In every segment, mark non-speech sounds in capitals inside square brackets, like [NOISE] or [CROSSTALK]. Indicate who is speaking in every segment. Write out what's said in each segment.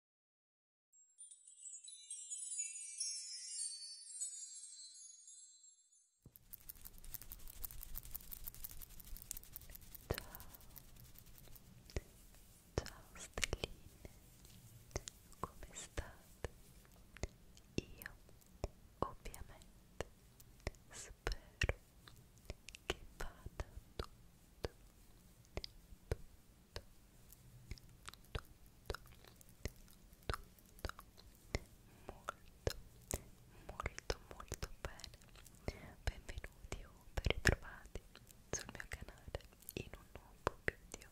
Speaker 1: Ciao stelline, come state? Io ovviamente spero che vada tutto, tutto, tutto, tutto molto, molto, molto bene. Benvenuti o ben ritrovati sul mio canale in un nuovo video.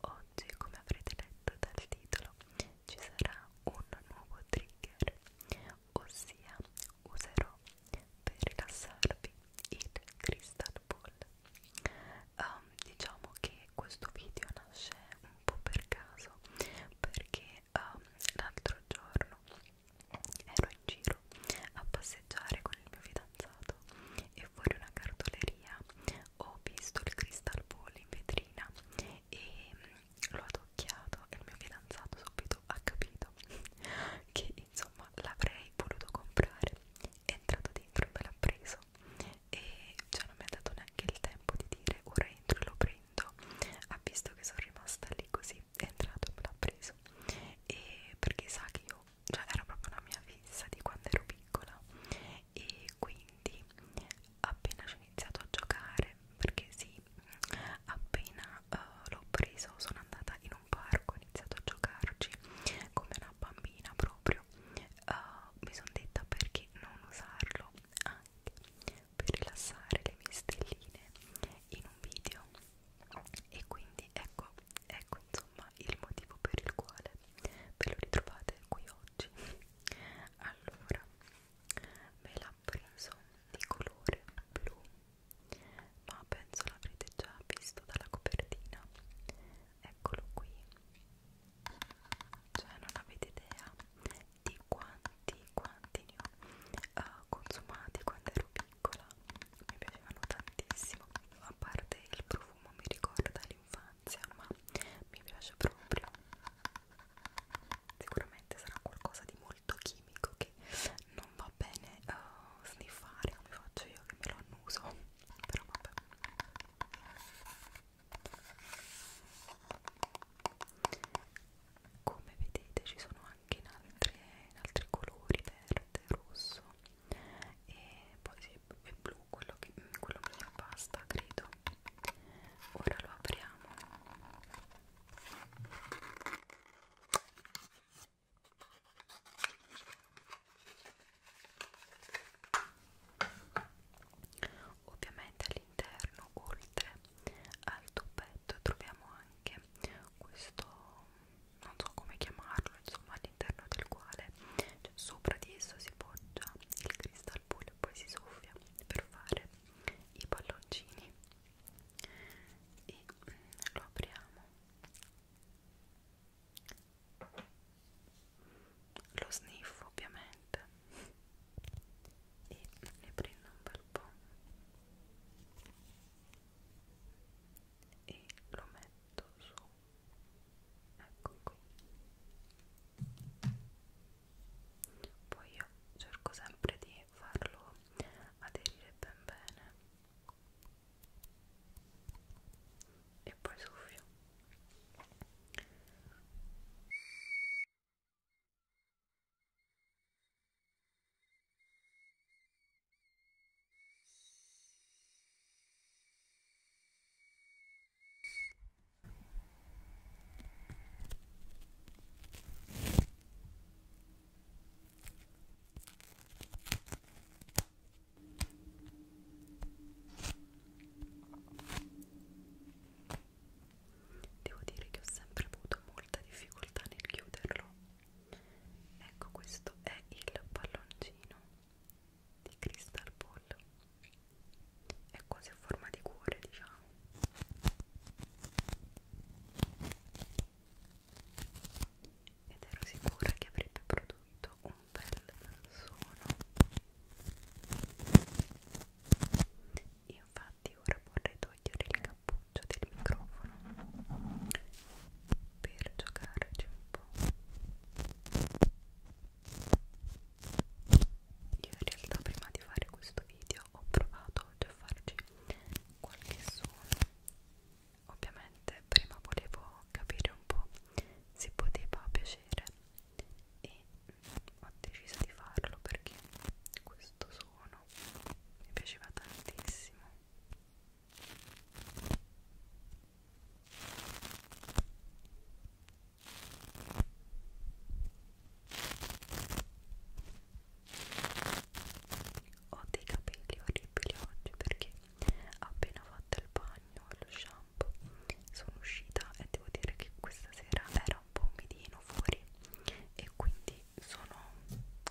Speaker 1: Oggi, come avrete letto dal titolo, ci sarà un nuovo trigger, ossia userò per rilassarvi il crystal ball um, diciamo che questo video nasce un po' per caso perché um, l'altro giorno ero in giro a passeggiare con il mio fidanzato e fuori una cartoleria ho visto il crystal ball in vetrina e mm, l'ho adocchiato e il mio fidanzato subito ha capito [LAUGHS] che insomma l'avrei voluto comprare è entrato dentro e me l'ha preso e cioè non mi ha dato neanche il tempo di dire ora entro e lo prendo ha visto che sono rimasta lì così è entrato e me l'ha preso e perché sa che io cioè era proprio una mia fissa di quando ero piccola e quindi appena ci ho iniziato a giocare perché sì appena uh, l'ho preso sono andata in un parco iniziato a giocarci come una bambina proprio uh, mi sono detta perché non usarlo anche per rilassare le mie stelline in un video e quindi ecco ecco insomma il motivo per il quale ve lo ritrovate qui oggi allora me l'ha preso di colore blu ma penso l'avrete già visto dalla copertina eccolo qui cioè non avete idea di quanti quanti ne ho uh, consumati quando ero piccola mi piacevano tantissimo a parte il profumo mi ricorda l'infanzia ma mi piace proprio sicuramente sarà qualcosa di molto molto chimico che non va bene uh, sniffare come faccio io che me lo annuso però vabbè come vedete ci sono anche in, altre, in altri colori verde, rosso e poi sì, è blu quello che quello mio basta credo ora lo apriamo Ovviamente all'interno, oltre al tubbetto, troviamo anche questo, non so come chiamarlo, insomma all'interno del quale cioè, sopra di esso si poggia il cristalpullo e poi si soffia per fare i palloncini e lo apriamo lo sniffo ovviamente e ne prendo un bel po' e lo metto su ecco qui poi io cerco sempre di e farlo aderire ben bene e poi soffio Devo dire che ho sempre avuto molta difficoltà nel chiuderlo. Ecco, questo è il palloncino di Crystal Ball. È quasi a forma di cuore, diciamo ed ero sicura che avrebbe prodotto un bel suono infatti ora vorrei togliere il cappuccio del microfono per giocarci un po' io in realtà prima di fare questo video ho provato a farci qualche suono ovviamente prima volevo capire un po' se poteva piacere e ho deciso di farlo perché questo suono mi piaceva tantissimo ho dei capelli orribili oggi perché appena fatto il bagno e lo shampoo sono uscita e devo dire che questa sera era un po' umidino fuori e quindi sono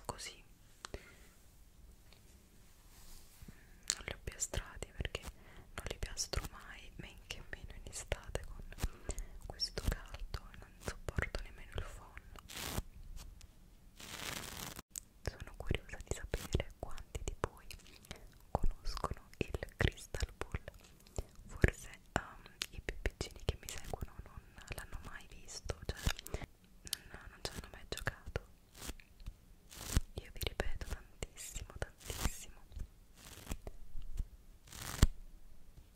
Speaker 1: così non li ho piastrati perché non li piastro mai men che meno in estate con questo caldo non sopporto nemmeno il phon sono curiosa di sapere quanti di voi conoscono il Crystal Ball forse um, i più piccini che mi seguono non l'hanno mai visto cioè non, non ci hanno mai giocato io vi ripeto tantissimo tantissimo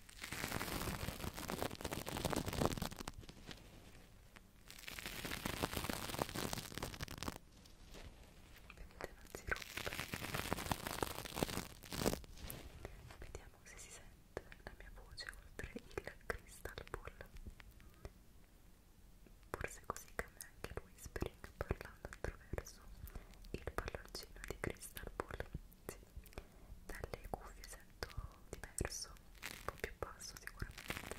Speaker 1: Vedete, non si rompe. Vediamo se si sente la mia voce oltre il crystal ball. Forse così cambia anche il whispering parlando attraverso il palloncino di crystal ball. Sì, dalle cuffie sento diverso, un po' più basso sicuramente.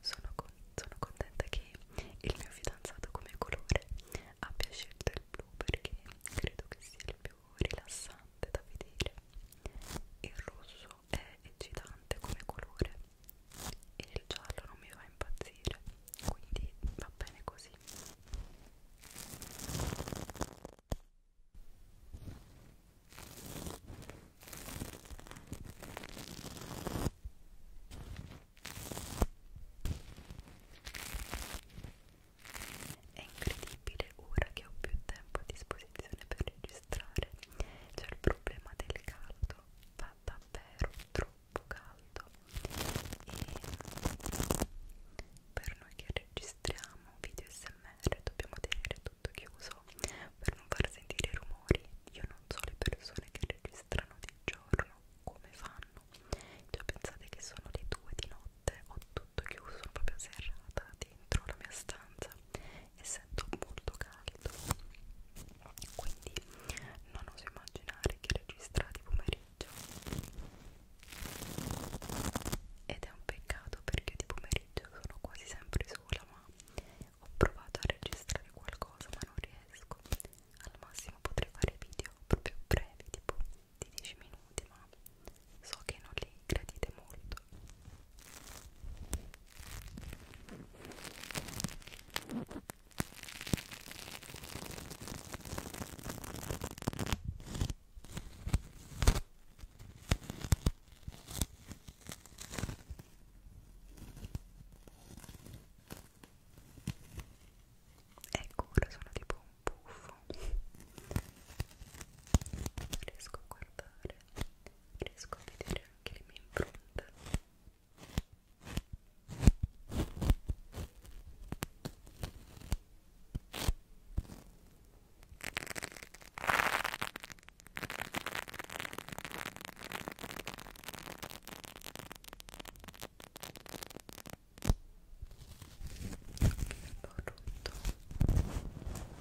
Speaker 1: Sono, con, sono contenta che il mio fidanzato come colore abbia scelto il blu perché credo che sia il più rilassante da vedere. Il rosso però è eccitante come colore e il giallo non mi fa impazzire quindi va bene così è incredibile ora che ho più tempo a disposizione per registrare registrare c'è il problema del caldo fa davvero troppo caldo e per noi che registriamo video smr dobbiamo tenere tutto chiuso per non far sentire i rumori io non so le persone che registrano di giorno come fanno cioè pensate che sono le 2 di notte ho tutto chiuso proprio serrata dentro la mia stanza essendo molto caldo quindi non oso immaginare che registrati pomeriggio ed è un peccato perché di pomeriggio sono quasi sempre sola ma ho provato a registrare qualcosa ma non riesco al massimo potrei fare video proprio brevi tipo di 10 minuti ma so che non li gradite molto Ecco, ora sono tipo un buffo. Non riesco a guardare riesco a vedere anche le mie impronte ho rotto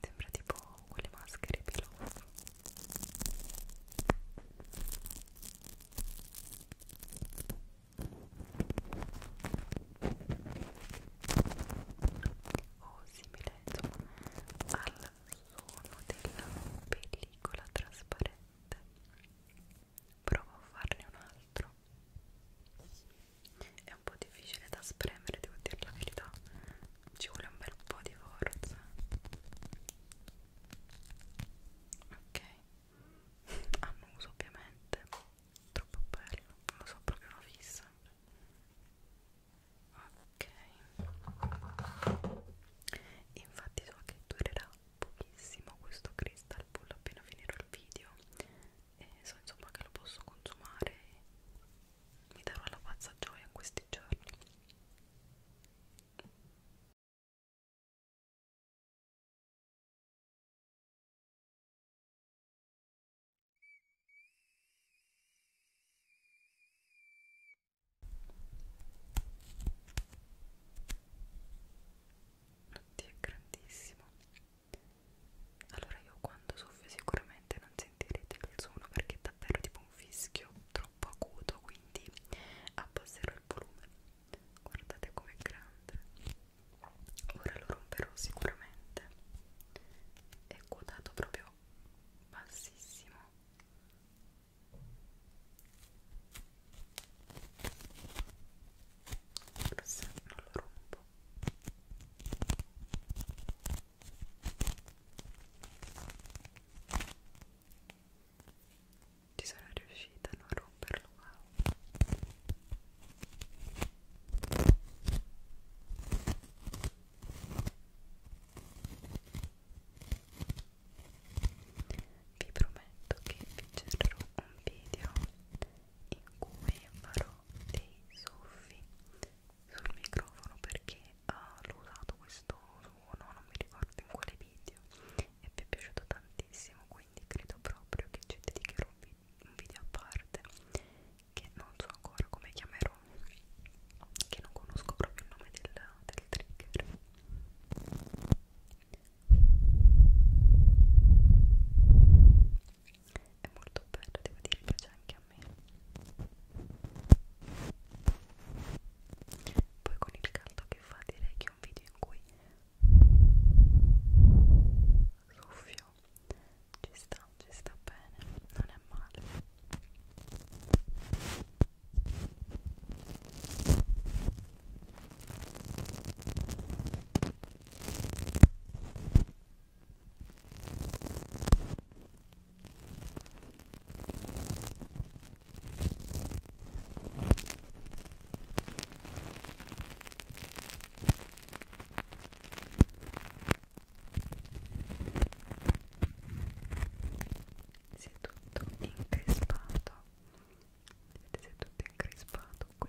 Speaker 1: Sembra tipo quelle maschere pilota. O simile insomma, al suono della pellicola trasparente. Provo a farne un altro è un po' difficile da spremere, devo dire la verità. Ci vuole un bel po' di forza. Ok, annuso [LAUGHS] ah, ovviamente. Troppo bello, non lo so, proprio una fissa. Ok, infatti so che durerà pochissimo questo crystal pool appena finirò il video e so insomma che lo posso consumare e mi darò la pazza gioia in questi giorni Oddio, è grandissimo allora io quando soffio sicuramente non sentirete il suono perché è davvero tipo un fischio troppo acuto quindi abbasserò il volume guardate com'è grande ora lo romperò sicuramente è quotato proprio bassissimo forse non lo rompo ci sono riuscita a non romperlo wow vi prometto che vi cercherò un video in cui farò dei soffi sul microfono perché uh, l'ho usato questo suono, non mi ricordo in quale video e vi è piaciuto tantissimo quindi credo proprio che ci dedicherò un, vi un video a parte che non so ancora come chiamerò che non conosco proprio il nome del, del trigger è molto bello, devo dire, piace anche a me. Poi con il caldo che fa direi che è un video in cui soffio ci sta, ci sta bene, non è male. Si è tutto increspato vedete è tutto incrispato qui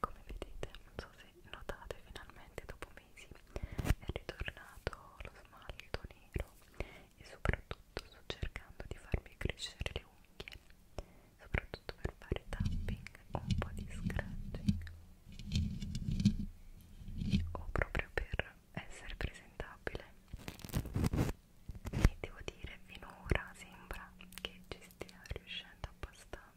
Speaker 1: come vedete non so se notate finalmente dopo mesi è ritornato lo smalto nero e soprattutto sto cercando di farmi crescere le unghie soprattutto per fare tapping o un po' di scratching o proprio per essere presentabile e devo dire finora sembra che ci stia riuscendo abbastanza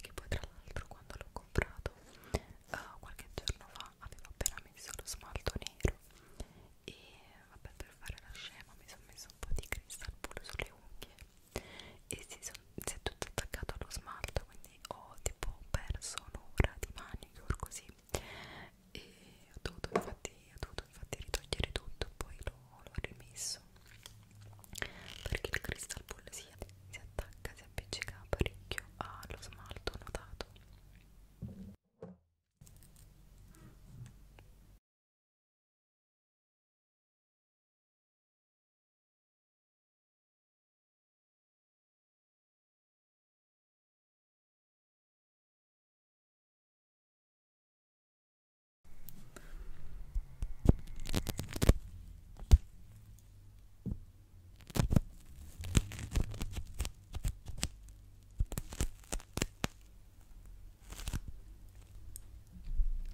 Speaker 1: che poi tra l'altro quando l'ho comprato uh, qualche giorno fa avevo appena messo lo smalto nero e vabbè per fare la scema mi sono messo un po' di cristal pure sulle unghie e si, son, si è tutto attaccato allo smalto quindi ho tipo perso un'ora di manicure così e ho dovuto infatti, ho dovuto infatti ritogliere tutto poi l'ho rimesso perché il cristal pollesia si attacca, si appiccica parecchio allo smalto notato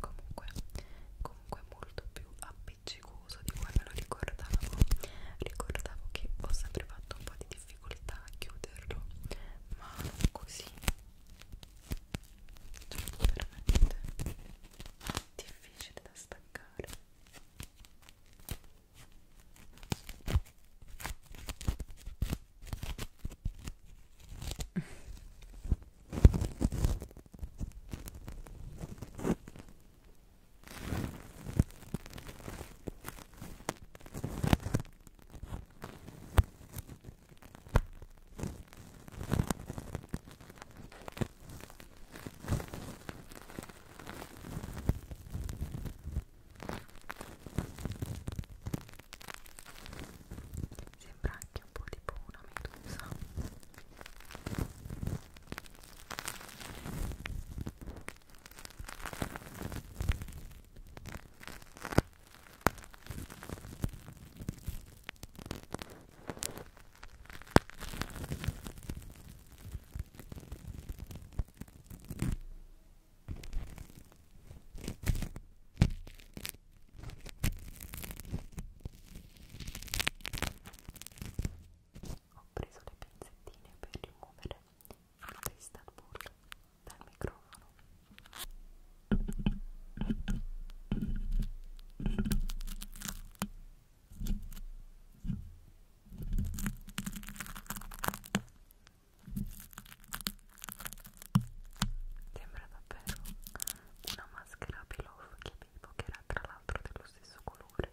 Speaker 1: Comunque, comunque molto più appiccicoso di come me lo ricordavo. Ricordavo che ho sempre fatto un po' di difficoltà a chiuderlo ma così cioè veramente difficile da staccare Sembra anche un po' tipo una medusa. Ho preso le pinzettine per rimuovere da Istanbul dal microfono Sembra davvero una maschera pillow che avevo che era tra l'altro dello stesso colore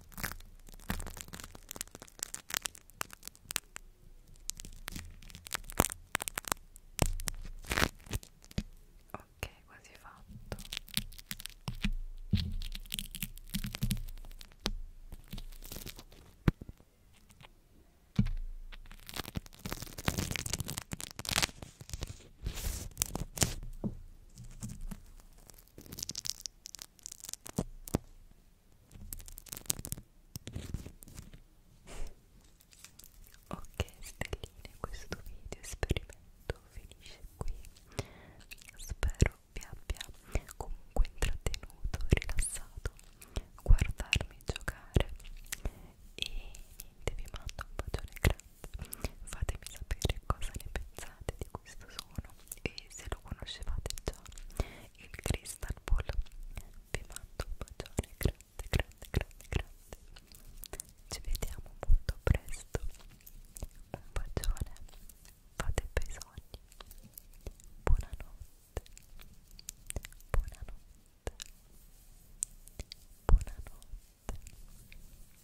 Speaker 1: Ok, quasi fatto. Ok stelline, questo video esperimento finisce qui. Spero vi abbia comunque intrattenuto, rilassato, guardarmi giocare e niente, vi mando un bacione grande fatemi sapere cosa ne pensate di questo suono e se lo conoscevate già il crystal ball vi mando un bacione grande grande grande grande ci vediamo molto presto un bacione fate bei sogni buonanotte buonanotte buonanotte